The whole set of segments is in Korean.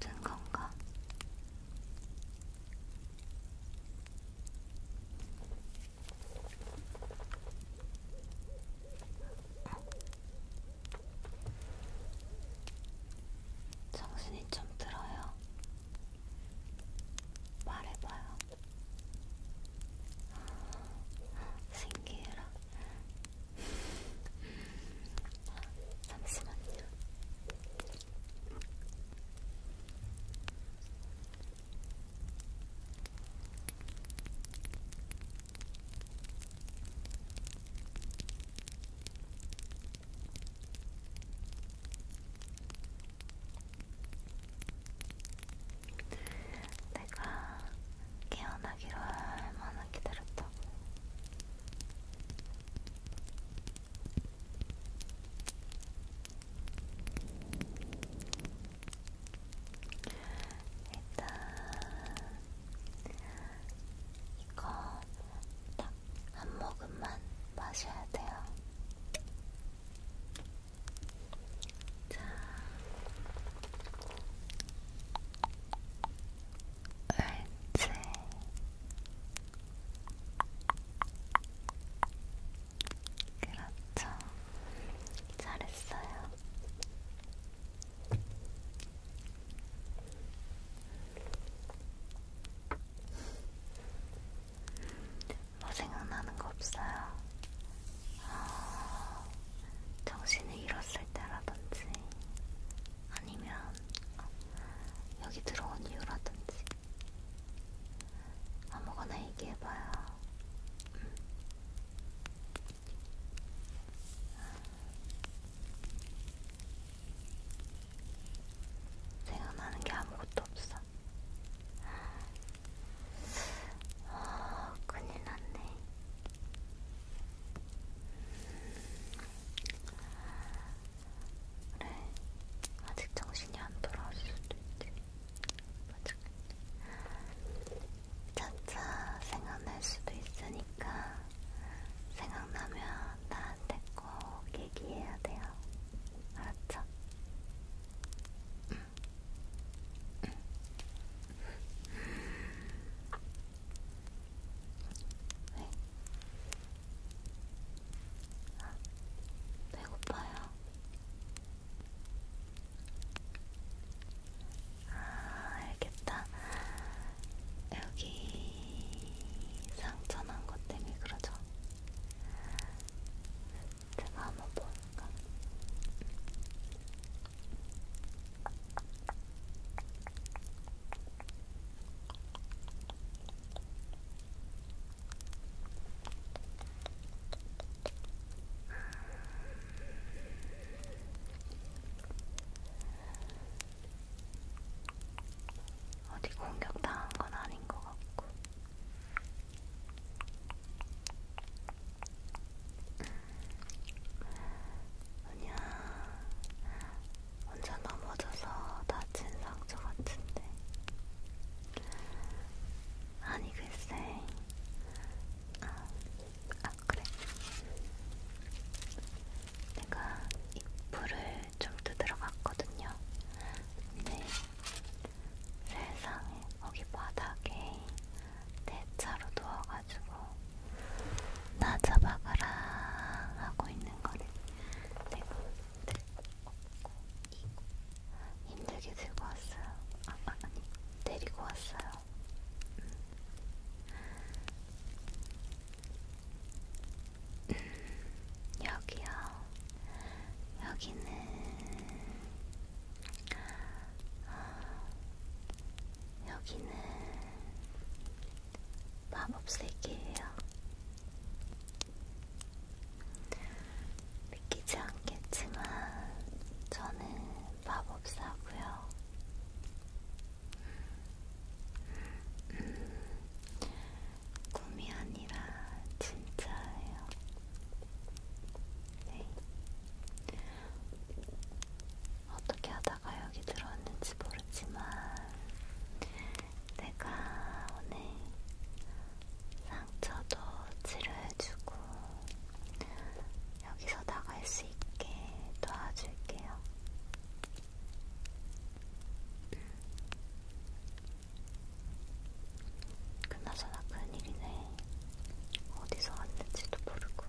짠짠 건가? 정신이 좀 들어요. 말해봐요. 신기해라. 잠시만요. 내가 깨어나기를 얼마나 기다렸다고. 일단 이거 딱 한 모금만 마셔야 돼요. 자, 옳지. 그렇죠. 잘했어요. 뭐 생각나는 거 없어요? 어, 정신을 잃었을 때라든지 아니면 어, 여기 들어온 이유라든지 아무거나 얘기해봐요. 음. 생각나는 게 아무것도 없어. 아, 큰일 났네. 음. 그래, 아직 정신이 안 돌아올 수도 있지. 맞아. 차차 생각날 수도 있으니까 생각나면 나한테 꼭 얘기해야 돼요. 알았죠? 응. 응. 왜? 아, 배고파요. 아, 알겠다. 여기 상처 난 것 때문에 그러죠? 제가 한번 볼까? 어디 공격당한 건 아닌 것 같고. 그냥 혼자 넘어져서 다친 상처 같은데. 아니 글쎄. 아, 아 그래. 내가 이불을 좀 뜯으러 갔거든요. 근데 세상에 거기 바닥에 대차로 누워가지고 나 잡아가라 하고 있는 거를 내가 힘들게 들고 왔어요. 아, 아 아니 데리고 왔어요. 음, 여기요. 여기는 어, 여기는 마법세계예요. 믿기지 않겠지만 저는 마법사고요. 음, 꿈이 아니라 진짜예요. 네. 어떻게 하다가 여기 들어왔는지 모르지만 내가 오늘 상처도 치료해주고 여기서 나갈 수 있게 도와줄게요. 음. 그나저나 큰일이네. 어디서 왔는지도 모르고,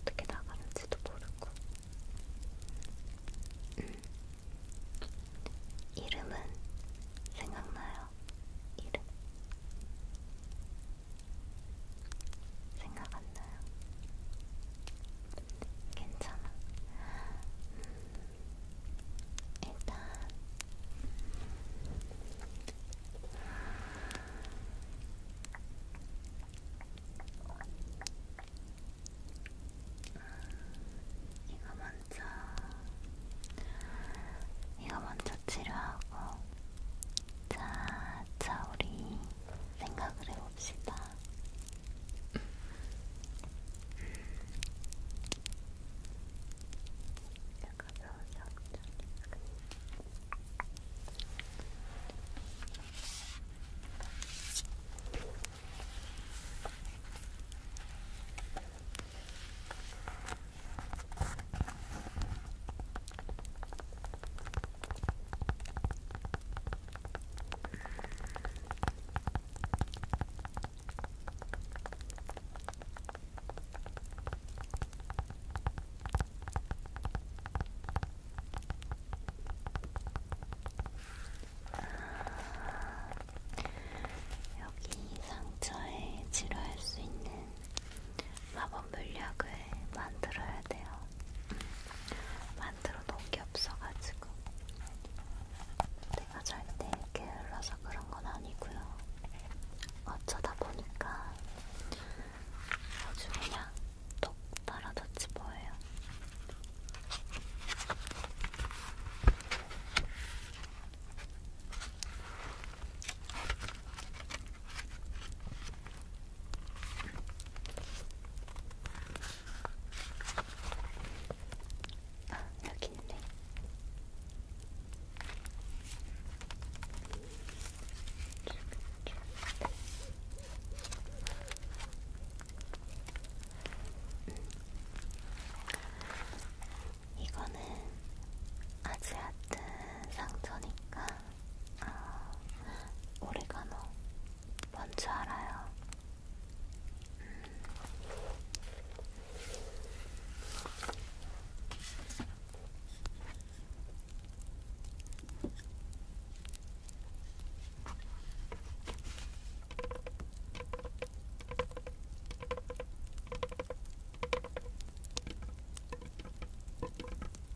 어떻게 나가는지도 모르고. 음. 이름은 생각나요. 이름. 생각 안 나요. 괜찮아. 음, 일단 이거 먼저 이거 먼저 치료하고. 자, 자 우리 생각을 해봅시다. 자, 여기 상처에 치료할 수 있는 마법 물약을 만들어야 돼요. 만들어 놓은 게 없어가지고 내가 절대 게을러서 그런 건 아니고요. 어쩌다 보니까 아주 그냥 똑 떨어졌지 뭐예요. 아, 여기 있네. 이거는 아지아튼 상처니까 아, 오레가노 뭔지 알아요. 음. 음.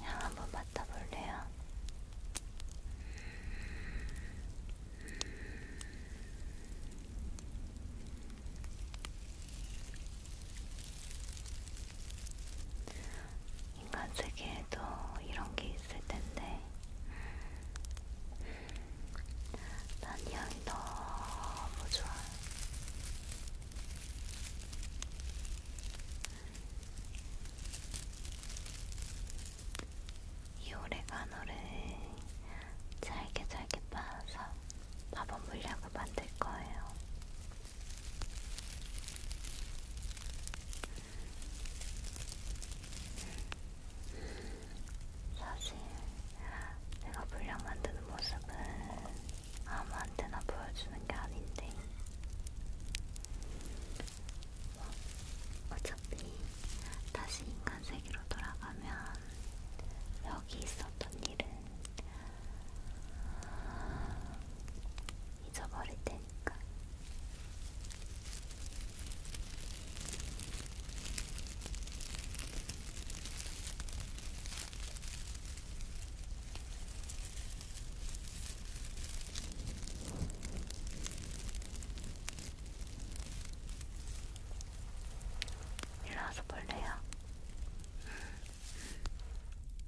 향 한번 맡아볼래요? 인간 세계에도 이런 게 있을 텐데 난이 향이 너무 좋아. 이 올해 간호를 잘게 잘게 빻아서 밥은 물약을 만들 거예요. 사실 내가 분량 만드는 모습은 아무한테나 보여주는 게 아닌데 뭐, 어차피 다시 인간 세계로 돌아가면 여기 있었던 일은 잊어버릴 테니까. 일로 와서 볼래요? 음, 음.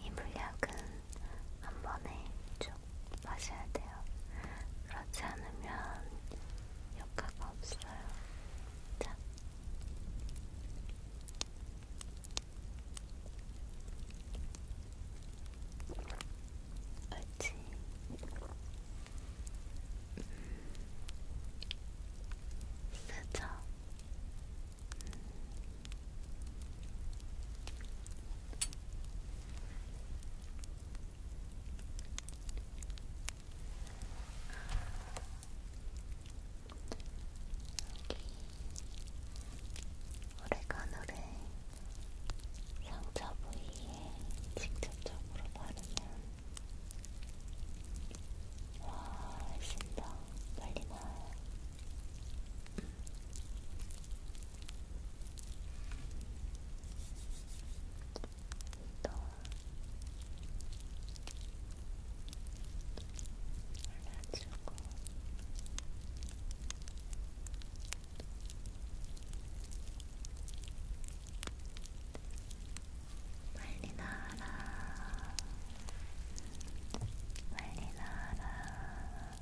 이 물약은 한 번에 쭉 마셔야 돼요. 그렇지 않으면 효과가 없어요. 자, 옳지. 음. 쓰죠. 음. 오레가노를 상처 부위에 직접적으로 바르면 훨씬 더 빨리 나아요. 또 발라주고 빨리 나아라 빨리 나아라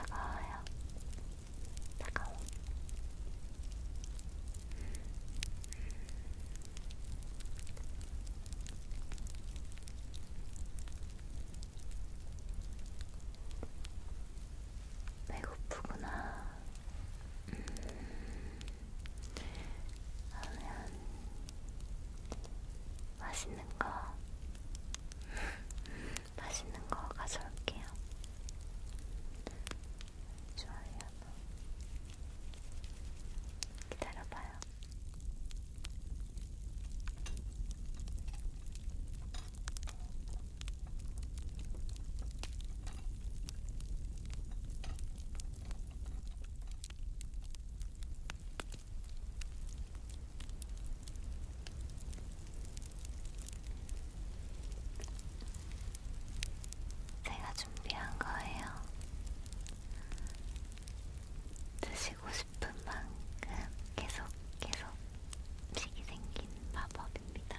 뜨거워요 따가워. 배고프구나. 음. 그러면 맛있는 거 맛있는 거 가져올게요. 좋아요. 기다려봐요. 제가 준비한 거예요. 드시고 싶은 만큼 계속 계속 식이 생긴 마법입니다.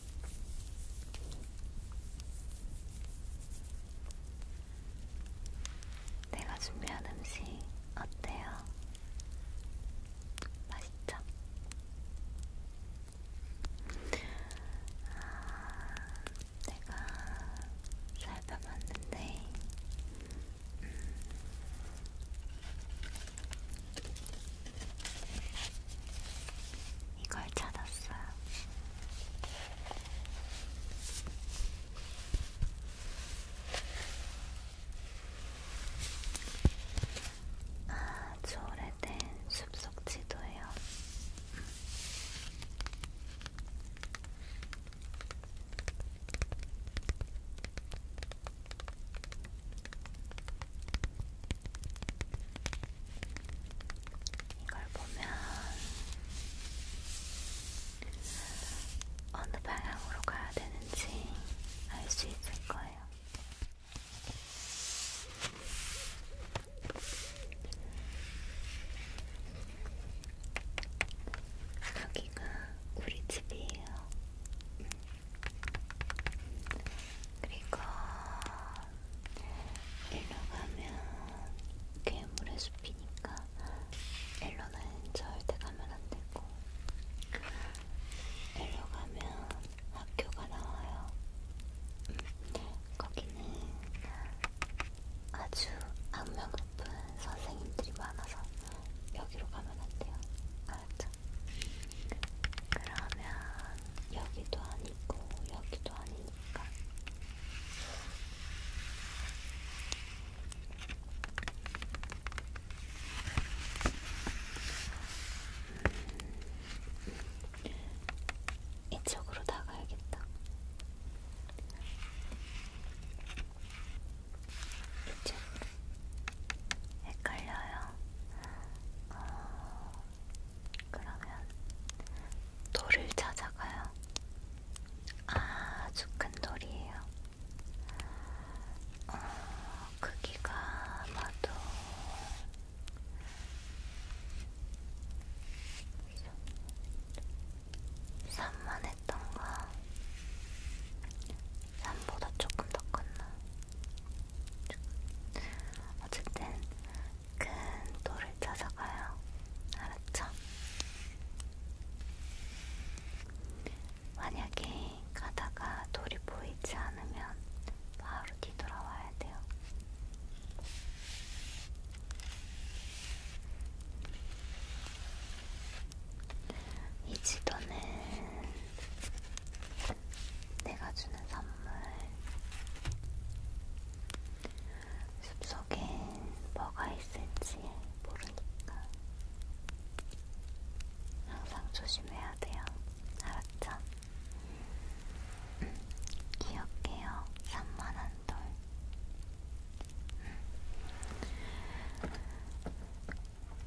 내가 준비한 음식 어때요? 맛있죠? 아, 내가 살펴봤는데 음, 이걸 찾았어요. 아주 오래된 숲속 지도예요. 이걸 보면 어느 방향으로 가야 되는지 알 수 있을 거예요. 여기가 우리 집이에요. 그리고 일로 가면 괴물의 숲이니까 일로는 절대 가면 안 되고 일로 가면 학교가 나와요. 음, 거기는 아주 악명 높은 선생님들이 많아서 여기로 가면 안 돼요. 알았죠? 그러면 여기도 아니고 여기도 아니니까 음, 이쪽으로 나가야겠다. 이쪽 헷갈려요. 어, 그러면 돌을 찾아가요. 아주 큰 돌이에요. 어, 크기가 아마도 산만했던가 산보다 조금 더 컸나 어쨌든 큰 돌을 찾아가요. 알았죠? 만약에 가다가 돌이 보이지 않으면 바로 뒤돌아와야 돼요. 이 지도는 내가 주는 선물 숲속엔 뭐가 있을지 모르니까 항상 조심해야 돼요. 알았죠? 음, 기억해요. 산만한 돌. 음.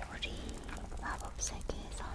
우리 마법 세계에서는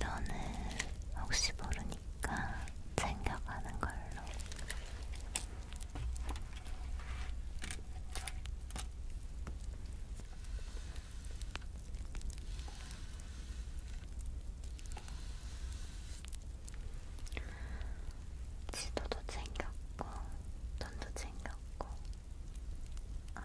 이번은 혹시 모르니까 테니까 챙겨가는 걸로. 지도도 챙겼고, 돈도 챙겼고. 아.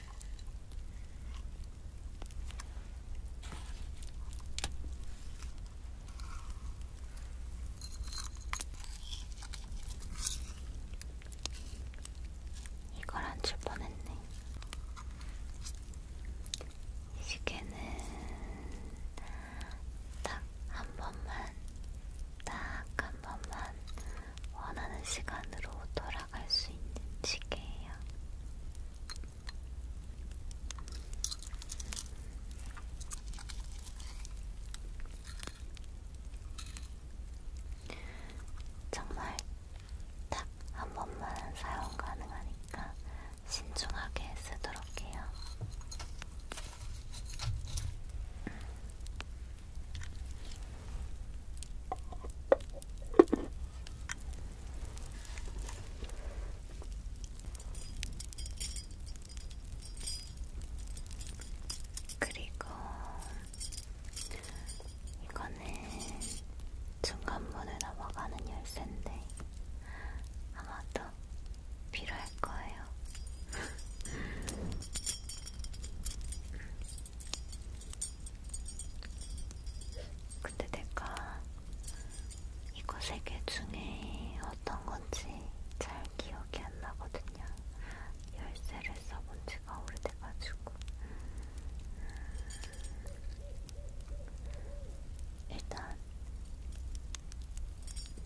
이걸 안줄 뻔했네. 이 시계는 딱 한 번만, 딱 한 번만 원하는 시간으로 돌아갈 수 있는 시계예요. 정말 딱 한 번만 사용 가능하니까 신중하게 쓰도록 해요. 그리고 이거는 중간문을 넘어가는 열쇠인데 아마도 필요할 거예요. 근데 내가 이거 세개 중에 어떤 건지 잘 기억이 안 나거든요. 열쇠를 써본 지가 오래돼가지고. 일단,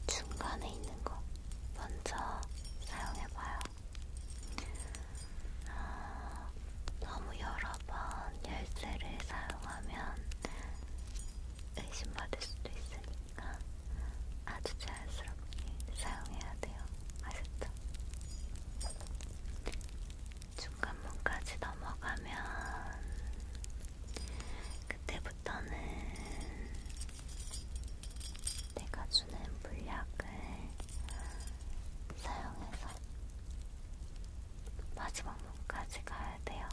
중간에 있는 거 먼저 사용해봐요. 아, 너무 여러 번 열쇠를 사용하면 의심받을 수도 있으니까 아주 자연스럽게 사용해야 돼요. 아셨죠? 중간문까지 넘어가면 그때부터는 내가 주는 물약을 사용해서 마지막 문까지 가야 돼요.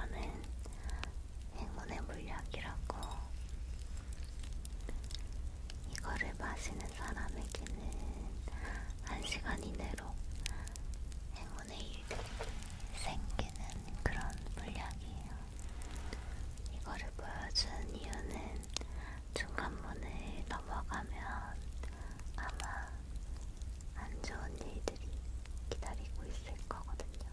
이거는 행운의 물약이라고 이거를 마시는 사람에게는 1시간 이내로 행운의 일이 생기는 그런 물약이에요. 이거를 보여준 이유는 중간문을 넘어가면 아마 안 좋은 일들이 기다리고 있을 거거든요.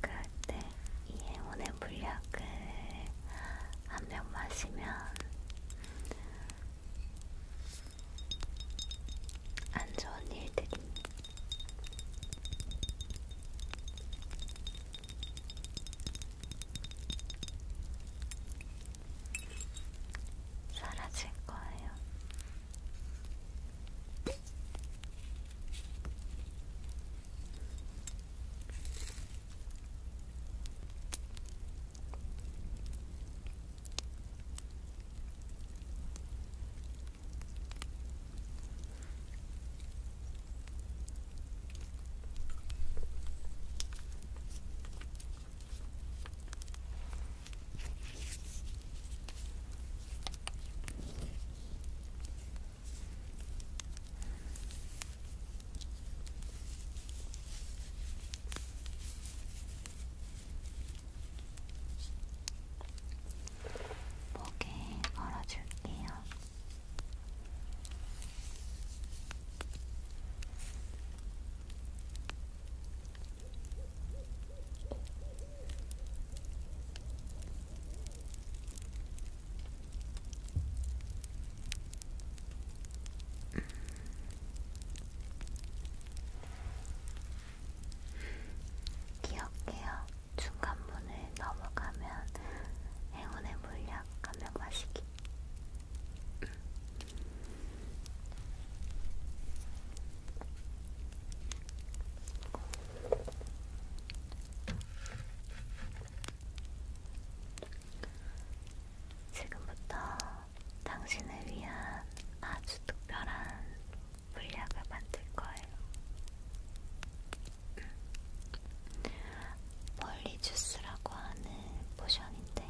그럴 때이 행운의 물약을 한 병 마시면 안 좋은 일들이 사라질 거예요. 목에 걸어줄게요. 기억해요. 중간문을 넘어가면 행운의 물약 감명마시기 지금부터 당신을 위한 아주 특별한 물약을 만들 거예요. 멀리 주스라고 하는 포션인데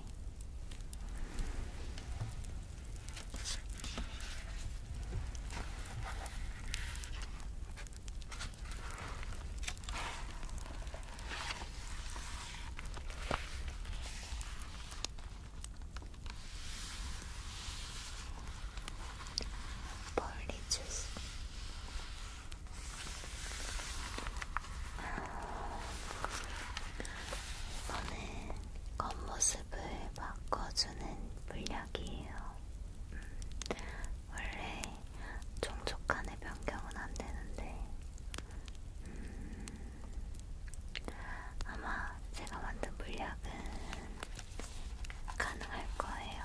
멀리 주스 이거는 겉모습을 바꿔주는 물약이에요. 음, 원래 종족간의 변경은 안 되는데, 음, 아마 제가 만든 물약은 가능할 거예요.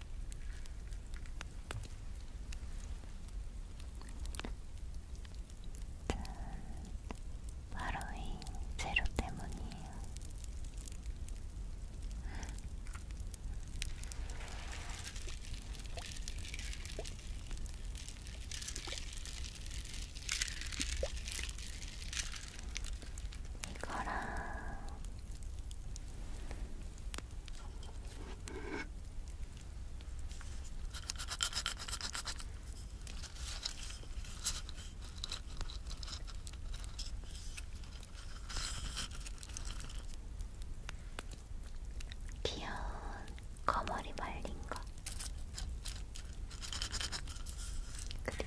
바로 이 재료 때문이에요. 이거랑 귀여운 거머리 말린 거 그리고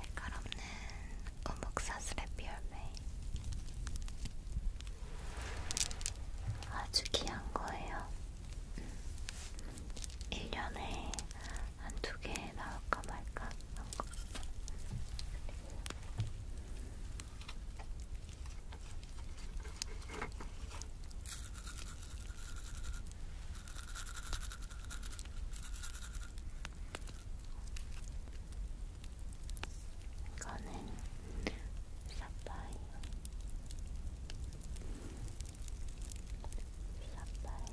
색깔 없는 우묵사슬의 비얼메이 아주 귀한 거예요. 1년에 음. 한두개 나올까 말까 한 거. 이거는 사파이어 사파이어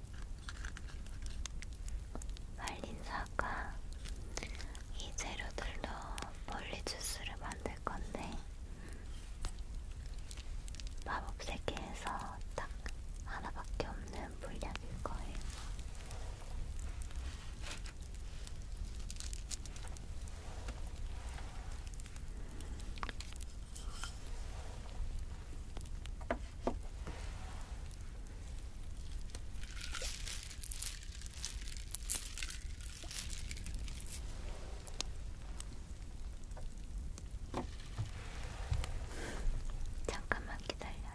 말린 사과 이 재료들로 멀리 주스를 만들 건데 마법 세계에서 딱 하나밖에 없는 물약일 거예요. 잠깐만 기다려요.